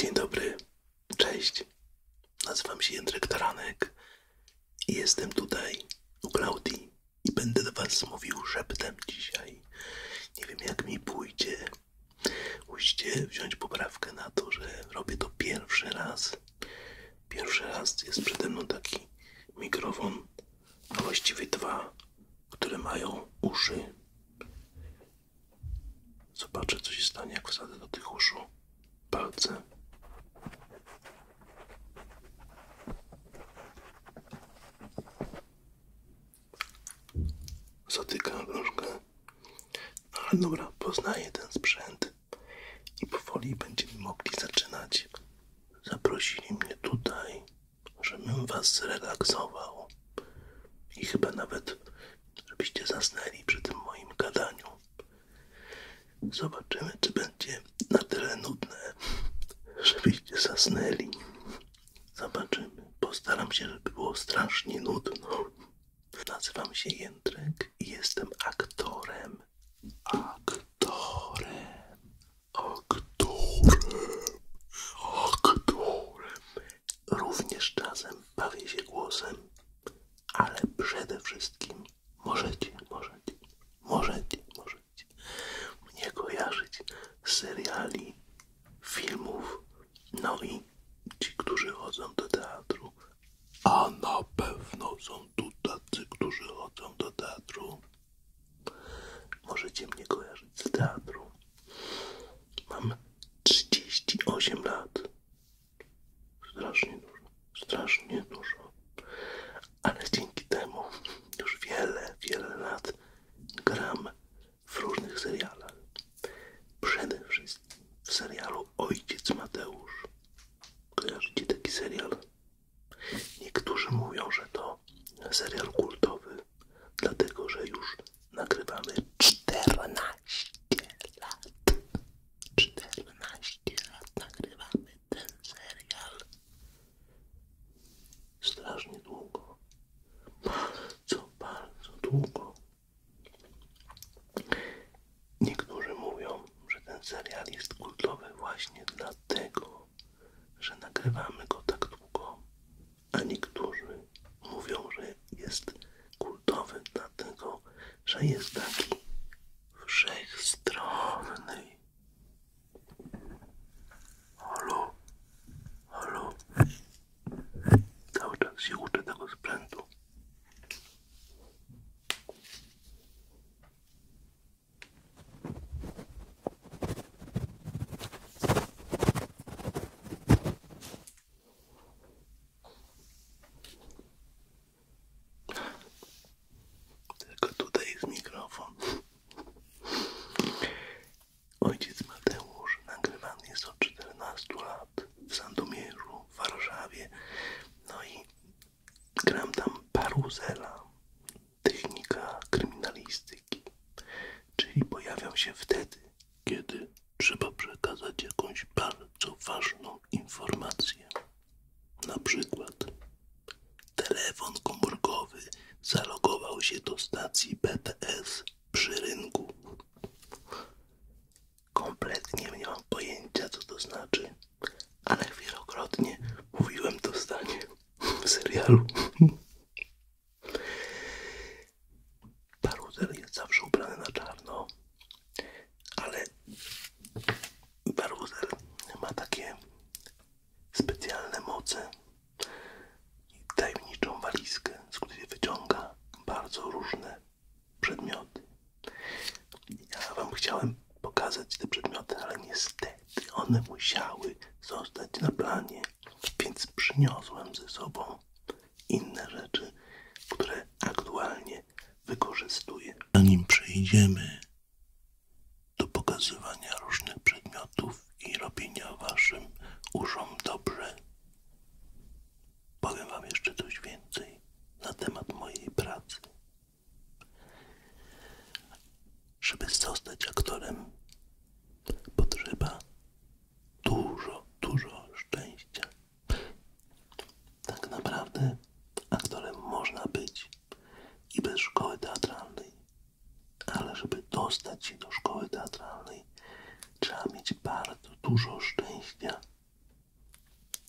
Dzień dobry, cześć. Nazywam się Jędrek Taranek i jestem tutaj u Klaudii i będę do Was mówił szeptem dzisiaj. Nie wiem jak mi pójdzie. Musicie wziąć poprawkę na to, że robię to pierwszy raz. Pierwszy raz jest przede mną taki mikrofon, a właściwie dwa, które mają uszy. Zobaczę, co się stanie, jak wsadzę do tych uszu palce. Zatykam troszkę. No, ale dobra, poznaję ten sprzęt i powoli będziemy mogli zaczynać. Zaprosili mnie tutaj, żebym was zrelaksował i chyba nawet żebyście zasnęli przy tym moim gadaniu. Zobaczymy, czy będzie na tyle nudne, żebyście zasnęli. Zobaczymy. Postaram się, żeby było strasznie nudno. Nazywam się Jędrek i jestem aktorem. Aktorem. Aktorem. Aktorem. Również czasem bawię się głosem, ale przede wszystkim możecie, możecie, możecie, możecie mnie kojarzyć z seriali, filmów, no i ci, którzy chodzą do teatru, a na pewno są tu tacy, którzy chodzą do teatru. Możecie mnie kojarzyć z teatru, Mam 38 lat. Strasznie dużo, strasznie dużo. Ale dzięki temu już wiele, wiele lat gram w różnych serialach. Przede wszystkim w serialu Ojciec Mateusz. Kojarzycie taki serial? Niektórzy mówią, że to serial kultowy, dlatego że już nagrywamy 14 lat. 14 lat nagrywamy ten serial. Strasznie długo. co bardzo długo. Niektórzy mówią, że ten serial jest kultowy właśnie dlatego, że nagrywamy go tak długo, a niektórzy mówią, że jest kultowy, dlatego, że jest taki wszechstronny. Halo, halo, cały czas się uczę tego sprzętu. Tylko tutaj jest mikrofon. Ojciec Mateusz nagrywany jest od 14 lat w Sandomierzu, w Warszawie. No i gram tam paruzela, technika kryminalistyki, czyli pojawiam się wtedy, kiedy trzeba przekazać jakąś bardzo ważną informację. Na przykład telefon komórkowy zalogował się do stacji BTS przy rynku. Kompletnie nie mam pojęcia, co to znaczy, ale wielokrotnie mówiłem to zdanie w serialu. Baruder jest zawsze ubrany na czarno, ale Baruder ma takie specjalne moce i tajemniczą walizkę, z której wyciąga bardzo różne przedmioty. Ja Wam chciałem pokazać te przedmioty, ale niestety one musiały zostać na planie, więc przyniosłem ze sobą inne rzeczy, które aktualnie wykorzystuję. Zanim przejdziemy do pokazywania różnych przedmiotów i robienia waszym uszom dobrze, powiem wam jeszcze coś więcej na temat mojej pracy. Żeby zostać aktorem, potrzeba dużo, dużo szczęścia tak naprawdę aktorem można być i bez szkoły teatralnej, ale żeby dostać się do szkoły teatralnej, trzeba mieć bardzo dużo szczęścia.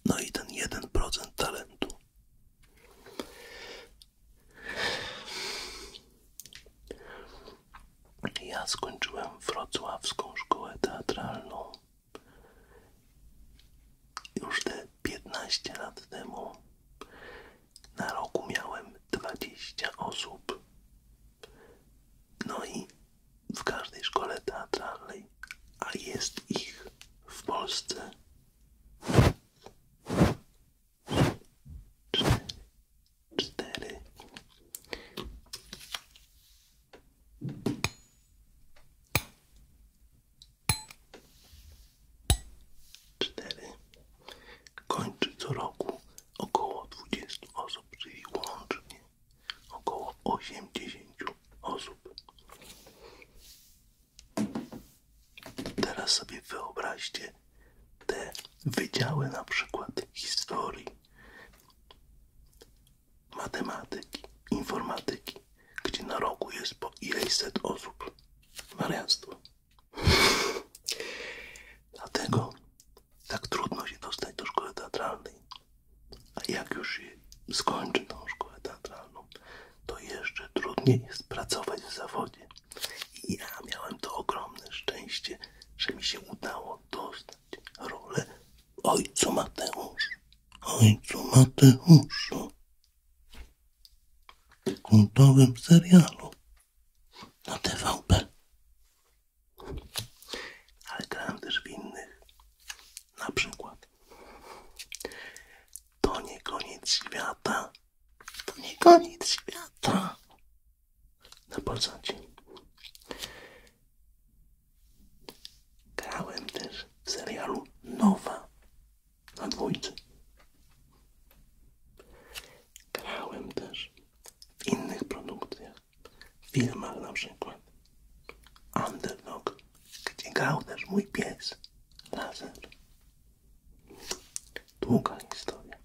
No i ten 1% talentu. Ja skończyłem wrocławską szkołę teatralną już te 15 lat temu. Na roku miałem 20 osób. No i w każdej szkole teatralnej, a jest ich w Polsce cztery. Kończy co roku około dwudziestu osób, czyli łącznie około osiemdziesięciu osób. Teraz sobie wyobraźcie te wydziały na przykład historii matematyki, informatyki, gdzie na roku jest po ileś set osób. Wariactwo. Dlatego tak trudno się dostać do szkoły teatralnej. A jak już się skończy tą szkołę teatralną, to jeszcze trudniej jest pracować w zawodzie. I ja miałem to ogromne szczęście, że mi się udało dostać rolę Ojcu Mateusz, ojcu Mateuszu, kultowym serialu na TVP. Ale grałem też w innych. Na przykład To nie koniec świata. To nie koniec świata. Na Polsacie. Grałem też w serialu Nowa na dwójce. Grałem też w innych produkcjach, w filmach na przykład Underdog, gdzie grał też mój pies Laser. Długa historia.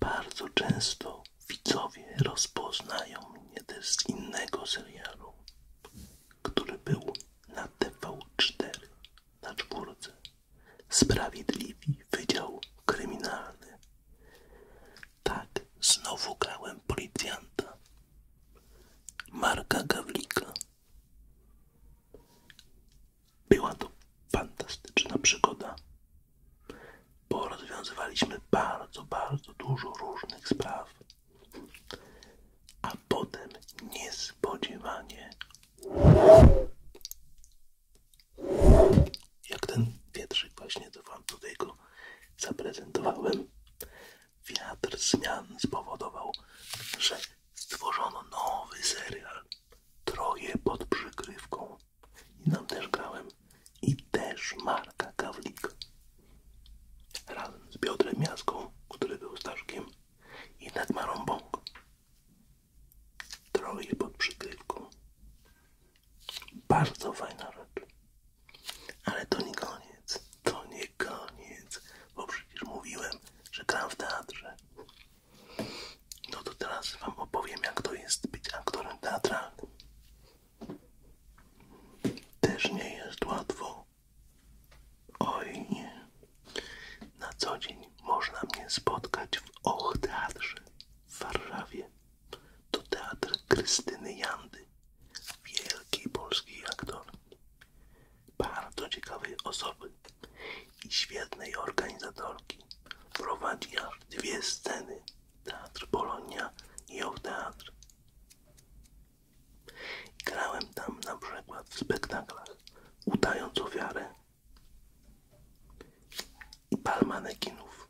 Bardzo często widzowie rozpoznają mnie też z innego serialu, który był na TV4 na czwórce. Sprawiedliwi Wydział Kryminalny. Tak, znowu grałem policjanta. Marka Gawlika. Była to fantastyczna przygoda bo rozwiązywaliśmy bardzo, bardzo dużo różnych spraw, a potem niespodziewanie, jak ten wietrzyk właśnie, do wam tutaj zaprezentowałem, wiatr zmian spowodował, że stworzono nowy serial Troje pod przykrywką. I tam też grałem. I też Marka Kawlik. Razem z Piotrem Miaską, który był Staszkiem. I Netmarą Bąk. Troi pod przykrywką. Bardzo fajna rzecz. Ale to nie koniec. To nie koniec. Bo przecież mówiłem, że gram w teatrze. No to teraz wam opowiem, jak to jest być aktorem teatralnym. Też nie jest łatwo. Oj nie. Na co dzień można mnie spotkać w Och Teatrze w Warszawie. To teatr Krystyny Jandy, wielkiej polskiej aktorki, bardzo ciekawej osoby i świetnej organizatorki. Prowadzi aż dwie sceny Teatr Polonia i o teatr. Grałem tam na przykład w spektaklach, udając ofiarę i pal manekinów.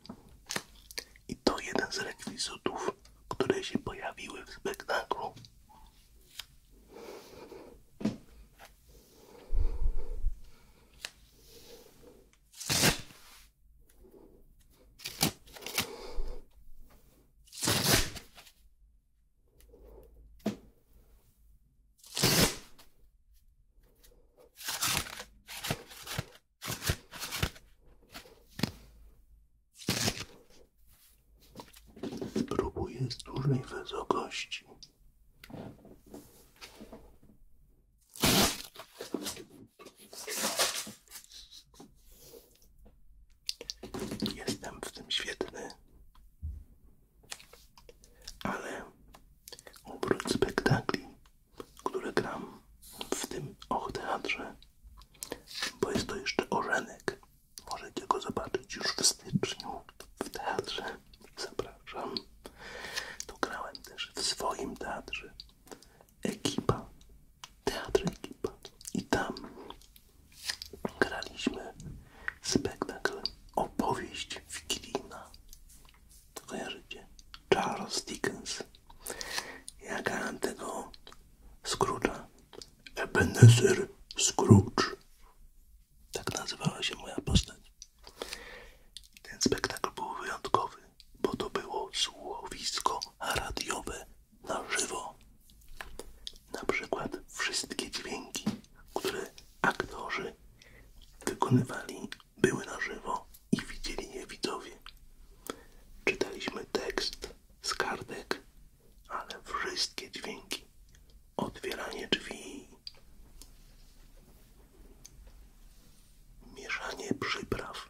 I to jeden z rekwizytów, które się pojawiły w spektaklu. Spróbuję z dużej wysokości. Jestem w tym świetny, ale oprócz spektakli, które gram w tym och bo jest to jeszcze orzenek, możecie go zobaczyć już w styczniu w teatrze, zapraszam, to grałem też w swoim teatrze ekipa, teatr ekipa i tam graliśmy spektakl opowieść wigilijna. Kojarzycie? Charles Dickens. Ja grałem tego Scrooge'a. Ebenezer Scrooge. Tak nazywała się moja postać. Ten spektakl był wyjątkowy bo to było słuchowisko radiowe na żywo. Na przykład wszystkie dźwięki, które aktorzy wykonywali, były na żywo i widzieli je widzowie. Czytaliśmy tekst z kartek, ale wszystkie dźwięki, otwieranie drzwi, mieszanie przypraw,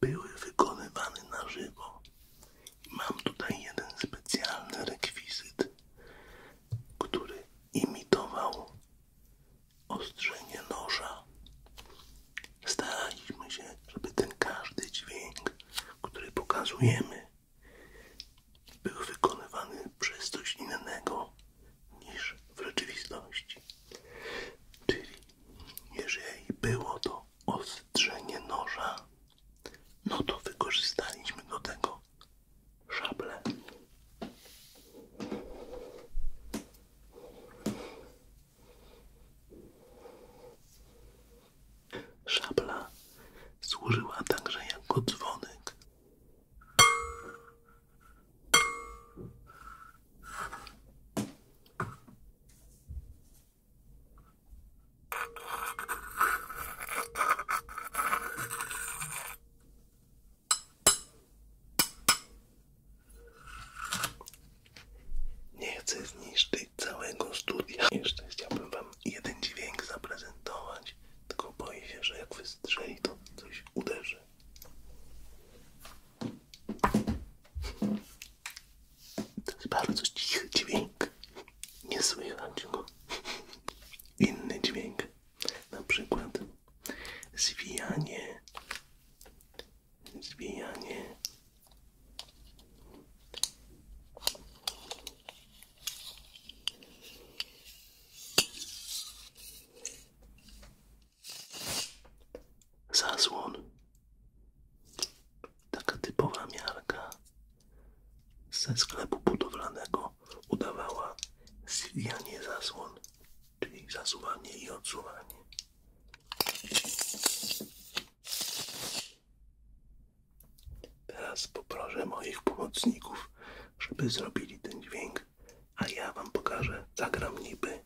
Były wykonywane na żywo. Mam tutaj jeden specjalny rekwizyt, który imitował ostrzenie noża. Staraliśmy się, żeby ten każdy dźwięk, który pokazujemy, był wykonywany przez coś innego niż w rzeczywistości. Czyli jeżeli było to ostrzenie noża, no to wykorzystaliśmy do tego szable. Szabla służyła także jako dzwonek. Nie chcę zniszczyć całego studia. Jeszcze chciałbym wam jeden dźwięk zaprezentować, tylko boję się, że jak wystrzeli, to coś uderzy. To jest bardzo cichy dźwięk. Nie słychać go. Inny dźwięk, na przykład zwijanie zasłon taka typowa miarka ze sklepu budowlanego udawała zwijanie zasłon czyli zasuwanie i odsuwanie Teraz poproszę moich pomocników, żeby zrobili ten dźwięk, a ja wam pokażę, zagram niby,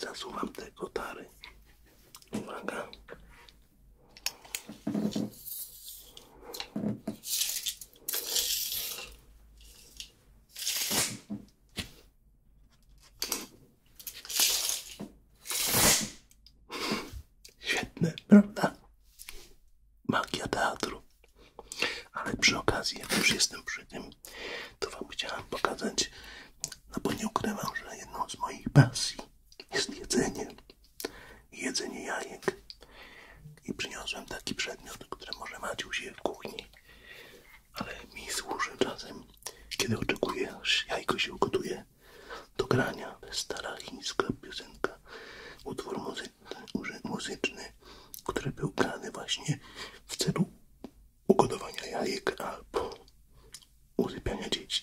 zasuwam te kotary. Uwaga. Świetne, prawda? Magia teatru. Ale przy okazji, jak już jestem przy tym, to Wam chciałem pokazać, no bo nie ukrywam, że jedną z moich pasji jest jedzenie. Jedzenie jajek. I przyniosłem taki przedmiot, który może macie u w kuchni, ale mi służy razem. Kiedy oczekujesz jajko się ugotuje do grania, stara chińska piosenka, utwór muzyczny, muzyczny który był grany właśnie w celu ugodowania jajek albo uzypiania dzieci.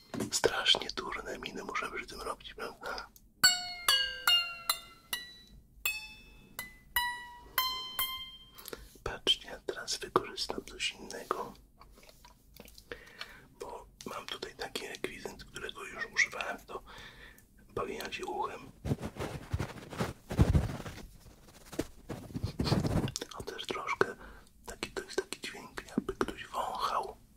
Strasznie durne miny muszę przy tym robić, prawda? Patrzcie, teraz wykorzystam coś innego, bo mam tutaj taki rekwizynt, którego już używałem to bawienia się uchem. On też troszkę taki, to jest taki dźwięk, jakby ktoś wąchał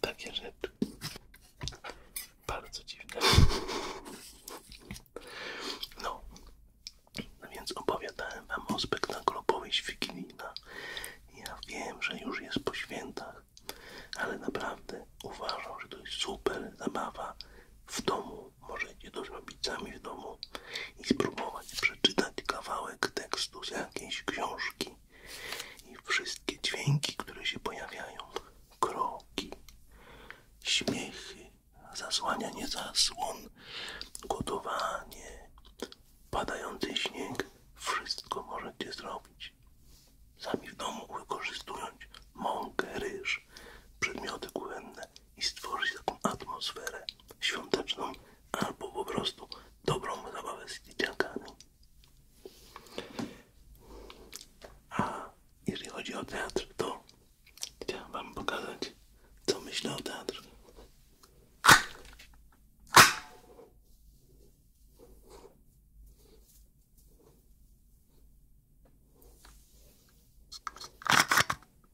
Takie rzeczy. Bardzo dziwne. No. no, więc opowiadałem wam o spektaklu Powieść Wigilijna. Ja wiem, że już jest po świętach, ale naprawdę uważam, że to jest super zabawa w domu. Możecie to z rodzicami w domu i spróbować przeczytać kawałek tekstu prostu z jakiejś książki i wszystkie dźwięki, które się pojawiają, kroki, śmiechy, zasłanianie zasłon, gotowanie, padający śnieg, wszystko możecie zrobić sami w domu, wykorzystując mąkę, ryż, przedmioty kuchenne i stworzyć taką atmosferę świąteczną albo po prostu dobrą zabawę z dzieciakami. A jeżeli chodzi o teatr, to chciałem Wam pokazać, co myślę o teatrze.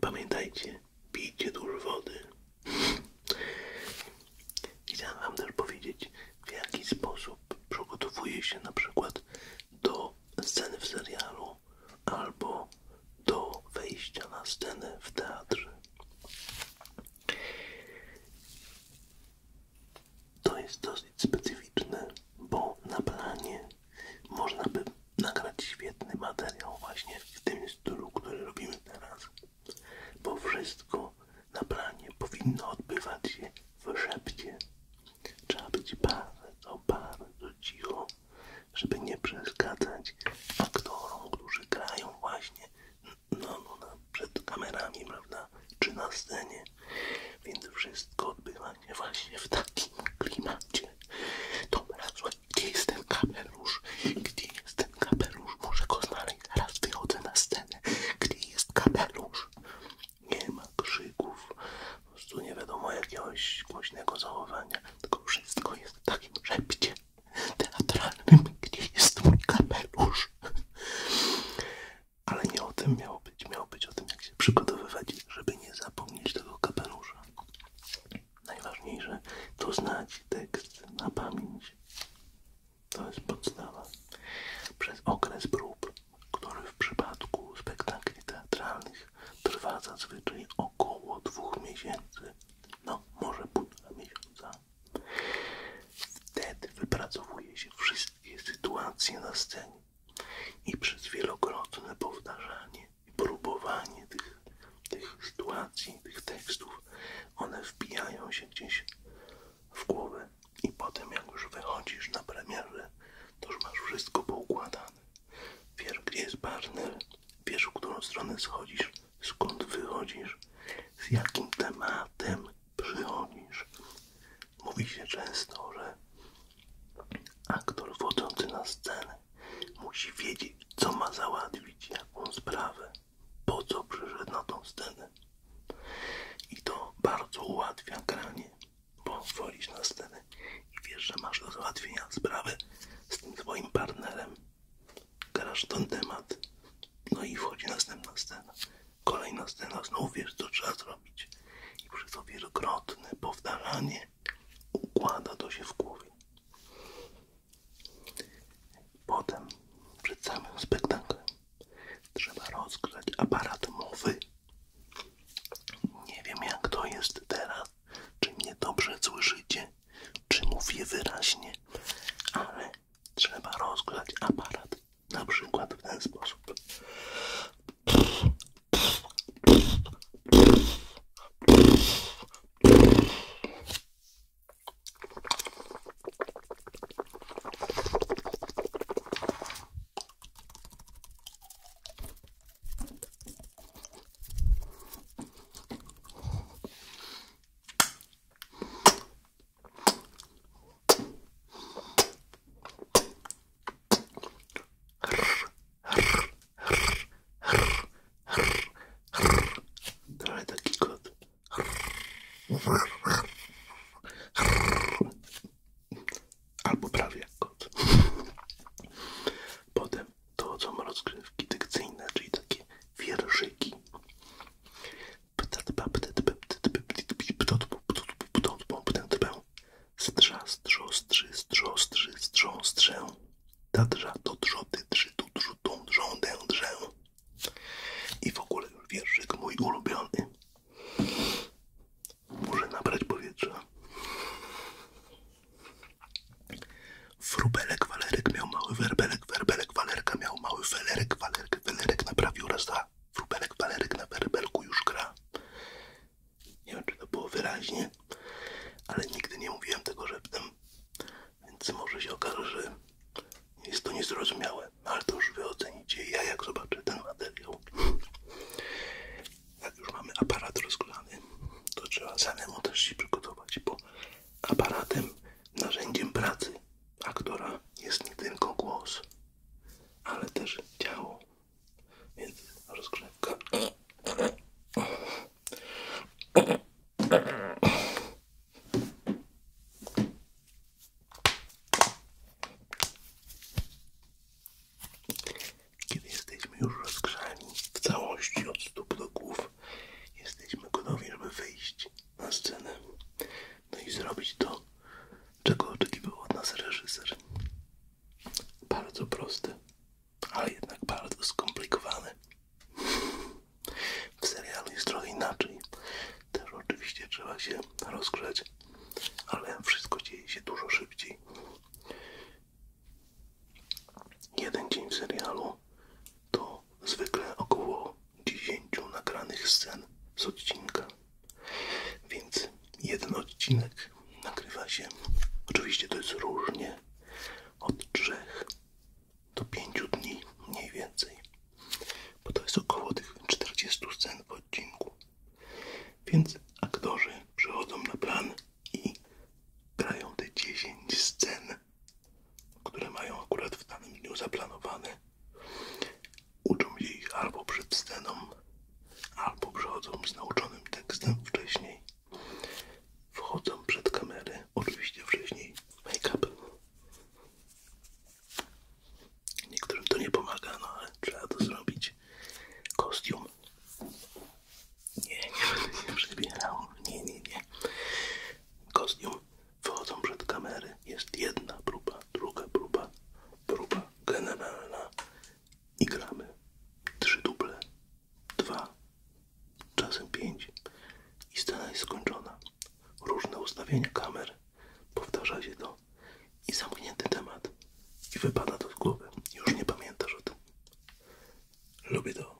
Pamiętajcie, pijcie dużo wody. Chciałem Wam też powiedzieć, w jaki sposób przygotowuję się na przykład do sceny w serialu albo do wejścia na scenę w teatrze. To jest dosyć specyficzne, bo na planie można by nagrać świetny materiał właśnie w tym stylu, który robimy teraz, bo wszystko na planie powinno odbywać się w szepcie. Trzeba być bardzo, bardzo cicho, żeby nie przeszkadzać aktorom, którzy grają właśnie no, no, przed kamerami, prawda, czy na scenie. Więc wszystko odbywa się właśnie w takim klimacie. Dobra, słuchaj, gdzie jest ten kapelusz? Gdzie jest ten kapelusz? Może go znaleźć, zaraz wychodzę na scenę. Gdzie jest kapelusz? Nie ma krzyków, po prostu nie wiadomo jakiegoś głośnego zachowania, tylko wszystko jest w takim szepcie teatralnym, gdzie jest mój kapelusz. Ale nie o tym miało być, miało być o tym, jak się przygotowywać, żeby nie zapomnieć tego kapelusza. Najważniejsze to znać tekst na pamięć. To jest podstawa. Przez okres prób, który w przypadku spektakli teatralnych trwa zazwyczaj około dwóch miesięcy, no może półtora miesiąca. Wtedy wypracowuje się wszystkie sytuacje na scenie i przez wielokrotne powtarzanie i próbowanie tych, tych sytuacji, tych tekstów, one wbijają się gdzieś w głowę i potem jak już wychodzisz na premierę, to już masz wszystko poukładane. Wiesz, gdzie jest partner, wiesz, w którą stronę schodzisz, skąd wychodzisz, z jakim tematem przychodzisz. Mówi się często, że aktor wchodzący na scenę musi wiedzieć, co ma załatwić, jaką sprawę, po co przyszedł na tą scenę. I to bardzo ułatwia granie, bo wchodzisz na scenę i wiesz, że masz do załatwienia sprawę z tym swoim partnerem grasz ten temat, no i wchodzi następna scena, kolejna scena, znów wiesz co trzeba zrobić i przez to wielokrotne powtarzanie układa to się w głowie. Potem przed samym spektaklem trzeba rozgrzać aparat mowy. Nie wiem jak to jest teraz, czy mnie dobrze słyszycie, czy mówię wyraźnie, ale trzeba rozgrzać aparat na przykład w ten sposób. Trochę taki kot. Albo prawie jak kot. Potem to są rozgrywki dykcyjne, czyli takie wierszyki. Strza, strzo, strzy, strzo, strzy, strzo, strzę. Tadrza, do trzody, trzy, tu, drzu, tą, drżą, dędrzę. I w ogóle już wierszyk mój ulubiony. Muszę nabrać powietrza. Frubelek, walerek miał mały werbelek, werbelek, walerka miał mały felerek, walerek, welerek naprawił raz za frubelek, walerek na werbelku już gra. Nie wiem, czy to było wyraźnie, ale nigdy nie mówiłem tego szeptem, więc może się okaże, że jest to niezrozumiałe, no ale to już wy ocenicie ja, jak zobaczę ten materiał. Jak już mamy aparat rozgrzany, to trzeba samemu też się przygotować, bo aparatem, narzędziem pracy aktora jest nie tylko głos, ale też ciało. Więc rozgrzewka. Kiedy jesteśmy już rozgrzani w całości od stóp do głów, Jesteśmy gotowi, żeby wyjść na scenę. No i zrobić to, czego oczekiwał od nas reżyser. Bardzo prosty, ale jednak bardzo skomplikowany. W serialu jest trochę inaczej. Też oczywiście trzeba się rozgrzać, ale wszystko dzieje się dużo szybciej. Jeden dzień w serialu to zwykle około 10 nagranych scen z odcinka, więc jeden odcinek nagrywa się, oczywiście to jest różnie, od 3 do 5 dni mniej więcej, bo to jest około tych 40 scen w odcinku, więc aktorzy przychodzą na plan i grają te 10 scen które mają akurat w danym dniu zaplanowane, uczą się ich albo przed sceną, albo przychodzą z nauczonym tekstem wcześniej, wchodzą przed kamery, oczywiście wcześniej make-up. Niektórym to nie pomaga, no ale trzeba to zrobić. Kostium. Nie, nie będę się przebierał. Nie, nie, nie kostium, wychodzą przed kamery. Jest jedna próba, druga próba, próba generalna i gramy. Trzy duble, dwa, czasem pięć i scena jest skończona. Różne ustawienia kamer, powtarza się to i zamknięty temat i wypada to z głowy. Już nie pamiętasz o tym. Lubię to.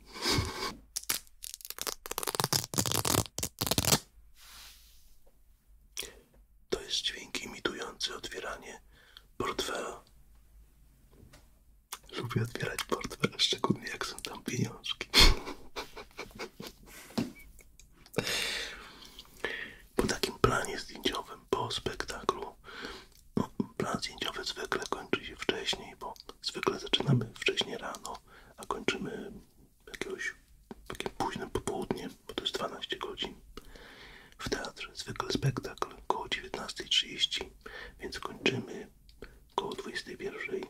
To jest dźwięk imitujący otwieranie portfela. Lubię otwierać portfela, szczególnie jak są tam pieniążki. Po takim planie zdjęciowym, po spektaklu, no, plan zdjęciowy zwykle kończy się wcześniej, bo zwykle zaczynamy wcześniej rano a kończymy jakiegoś takie późne popołudnie, bo to jest 12 godzin. W teatrze zwykle spektakl koło 19.30, więc kończymy koło 21.00,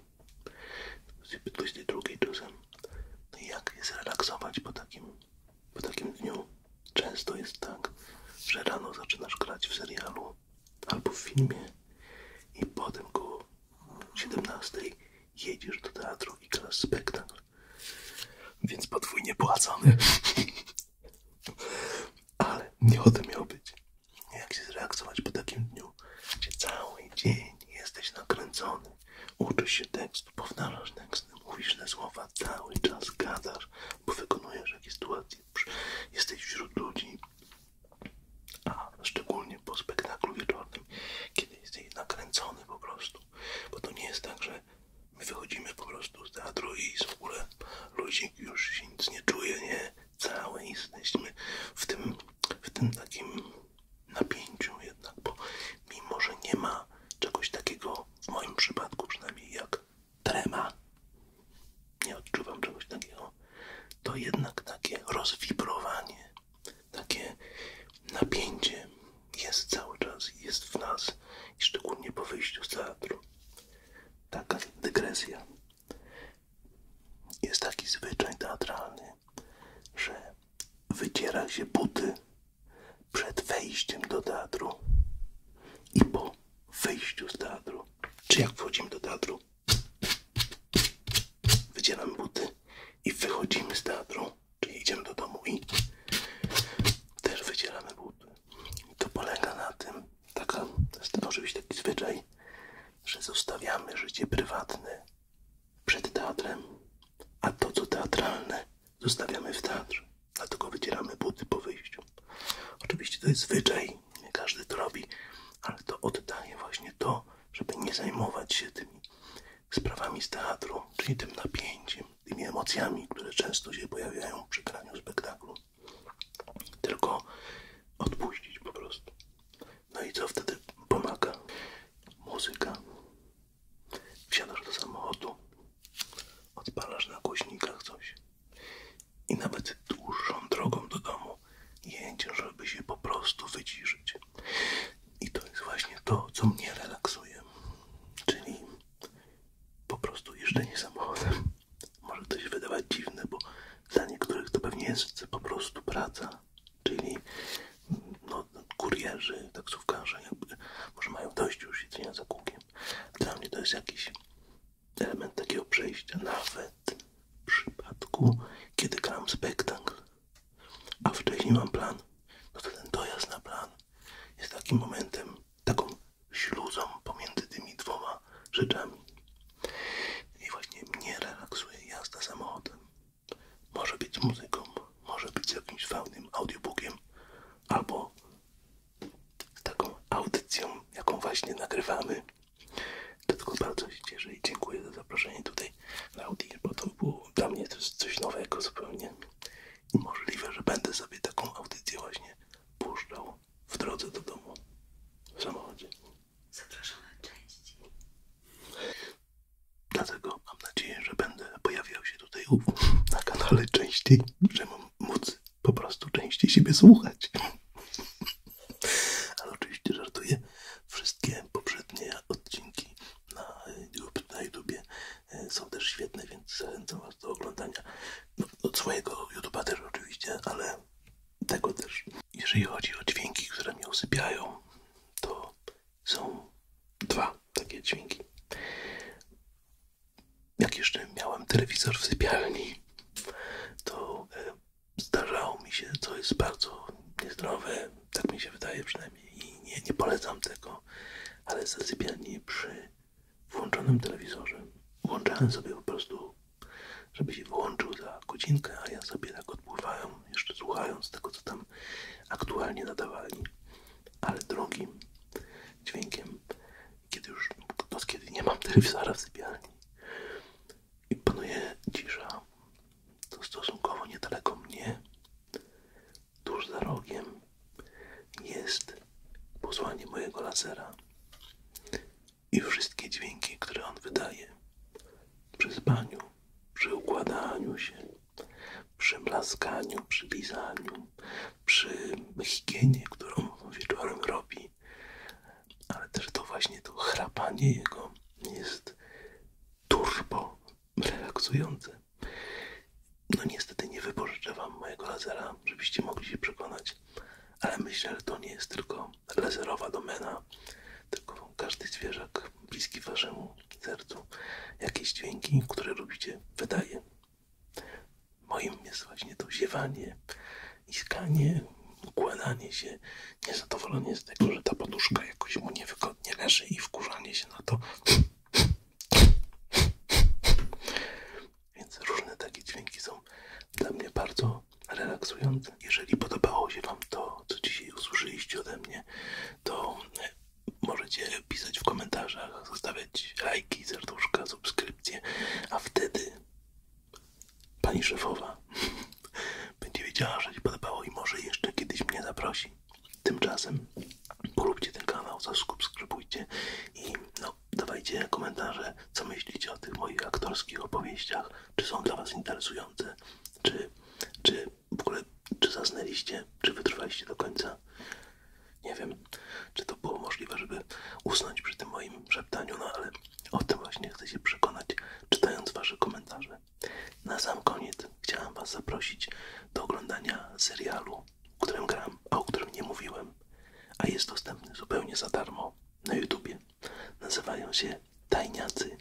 22.00 czasem. No i jak jest relaksować po takim, po takim dniu? Często jest tak, że rano zaczynasz grać w serialu albo w filmie i potem go 17 jedziesz do teatru i grasz spektakl. Więc podwójnie płacony. Ale nie o to miał być. Jak się zreakcjonować po takim dniu, gdzie cały dzień jesteś nakręcony, uczysz się tekstu, powtarzasz teksty, mówisz te słowa, cały czas gadasz, bo wykonujesz jakieś sytuacje, jesteś wśród ludzi, a szczególnie po spektaklu wieczornym, kiedy jesteś nakręcony po prostu, bo to nie jest tak, że my wychodzimy po prostu z teatru i w ogóle ludzik już się nic nie czuje, nie? Całe jesteśmy w tym, w tym takim napięciu jednak, bo mimo, że nie ma czegoś takiego, w moim przypadku przynajmniej, jak trema, nie odczuwam czegoś takiego, to jednak takie rozwibrowanie, takie napięcie jest cały czas, jest w nas, i szczególnie po wyjściu z teatru. Taka dygresja. Jest taki zwyczaj teatralny, że wyciera się buty przed wejściem do teatru i po wyjściu z teatru. Czy jak wchodzimy do teatru, Wydzielam buty i wychodzimy z teatru, czyli idziemy do domu i też wydzielamy buty. I to polega na tym, taka, jest oczywiście taki zwyczaj, że zostawiamy życie prywatne przed teatrem, a to co teatralne zostawiamy w teatrze. Dlatego wydzielamy buty po wyjściu. Oczywiście to jest zwyczaj, nie każdy to robi, ale to oddaje właśnie to, żeby nie zajmować się tymi sprawami z teatru, czyli tym napięciem, tymi emocjami, które często się pojawiają przy graniu spektaklu. Tylko odpuścić po prostu. No i co wtedy pomaga? Muzyka. Wsiadasz do samochodu, odpalasz na głośnikach coś i nawet dłuższą drogą do domu jęcie, żeby się po prostu wyciszyć. I to jest właśnie to, co mnie relaksuje. Czyli po prostu jeżdżenie samochodem. Może to się wydawać dziwne, bo dla niektórych to pewnie jest po prostu praca. Czyli no, kurierzy, taksówkarze, jakby może mają dość już jedzenia za kółkiem. Dla mnie to jest jakiś element takiego przejścia, nawet w przypadku, kiedy gram spektakl, a wcześniej mam plan, no to ten dojazd na plan jest takim momentem, taką śluzą pomiędzy tymi dwoma rzeczami. I właśnie mnie relaksuje jazda samochodem. Może być muzyką, może być jakimś fajnym audiobookiem, albo z taką audycją, jaką właśnie nagrywamy. Dlatego bardzo się cieszę i dziękuję za zaproszenie tutaj na audio, bo to było dla mnie coś nowego zupełnie. I możliwe, że będę sobie taką audycję właśnie puszczał w drodze do domu, w samochodzie. Zapraszam na części. Dlatego mam nadzieję, że będę pojawiał się tutaj na kanale częściej, że mam móc po prostu częściej siebie słuchać. Ale oczywiście żartuję. Wszystkie poprzednie odcinki na YouTubie e, są też świetne, więc zachęcam Was do oglądania no, od swojego YouTube'a też oczywiście, ale tego też. Jeżeli chodzi o dźwięki, które mnie usypiają, to są dwa takie dźwięki. Jak jeszcze miałem telewizor w sypialni, to e, zdarzało mi się, co jest bardzo niezdrowe, tak mi się wydaje przynajmniej i nie, polecam tego, ale zasypialni przy włączonym telewizorze. Włączałem sobie po prostu, żeby się włączył za godzinkę, a ja sobie tak odpływałem, jeszcze słuchając tego, co tam aktualnie nadawali, ale drugim dźwiękiem, kiedy już, to kiedy nie mam telewizora w sypialni, i panuje cisza. To stosunkowo niedaleko mnie, tuż za rogiem, jest posłanie mojego lasera i wszystkie dźwięki, które on wydaje przy spaniu, przy układaniu się, przy blaskaniu, przy lizaniu, przy higienie, którą wieczorem robi, ale też to właśnie to chrapanie jego jest turbo relaksujące. No niestety nie wypożyczę Wam mojego lazera, żebyście mogli się przekonać, ale myślę, że to nie jest tylko laserowa domena, tylko każdy zwierzak bliski Waszemu sercu jakieś dźwięki, które robicie wydaje. Moim jest właśnie to ziewanie, iskanie, układanie się niezadowolenie z tego, że ta poduszka jakoś mu niewygodnie leży i wkurzanie się na to. Więc różne takie dźwięki są dla mnie bardzo relaksujące. Jeżeli podobało się Wam to, co dzisiaj usłyszeliście ode mnie, to możecie pisać w komentarzach, zostawiać lajki, serduszka, subskrypcje, a wtedy Pani szefowa będzie wiedziała, że się podobało i może jeszcze kiedyś mnie zaprosi. Tymczasem polubcie ten kanał, zasubskrybujcie i no, dawajcie komentarze, co myślicie o tych moich aktorskich opowieściach, czy są dla Was interesujące, czy, czy w ogóle, czy zasnęliście, czy wytrwaliście do końca. Nie wiem, czy to było możliwe, żeby usnąć przy tym moim szeptaniu, no ale o tym właśnie chcę się przekonać, czytając Wasze komentarze. Na sam koniec chciałam Was zaprosić do oglądania serialu, o którym gram, a o którym nie mówiłem, a jest dostępny zupełnie za darmo na YouTubie. Nazywają się Tajniacy.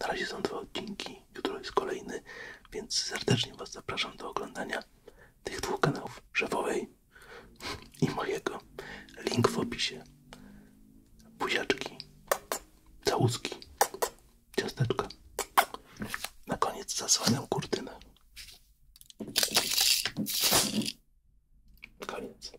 Na razie są dwa odcinki, jutro jest kolejny, więc serdecznie Was zapraszam do oglądania tych dwóch kanałów, szefowej i mojego. Link w opisie. Buziaczki całuski, ciasteczka. Na koniec zasłaniam kurtynę. Koniec.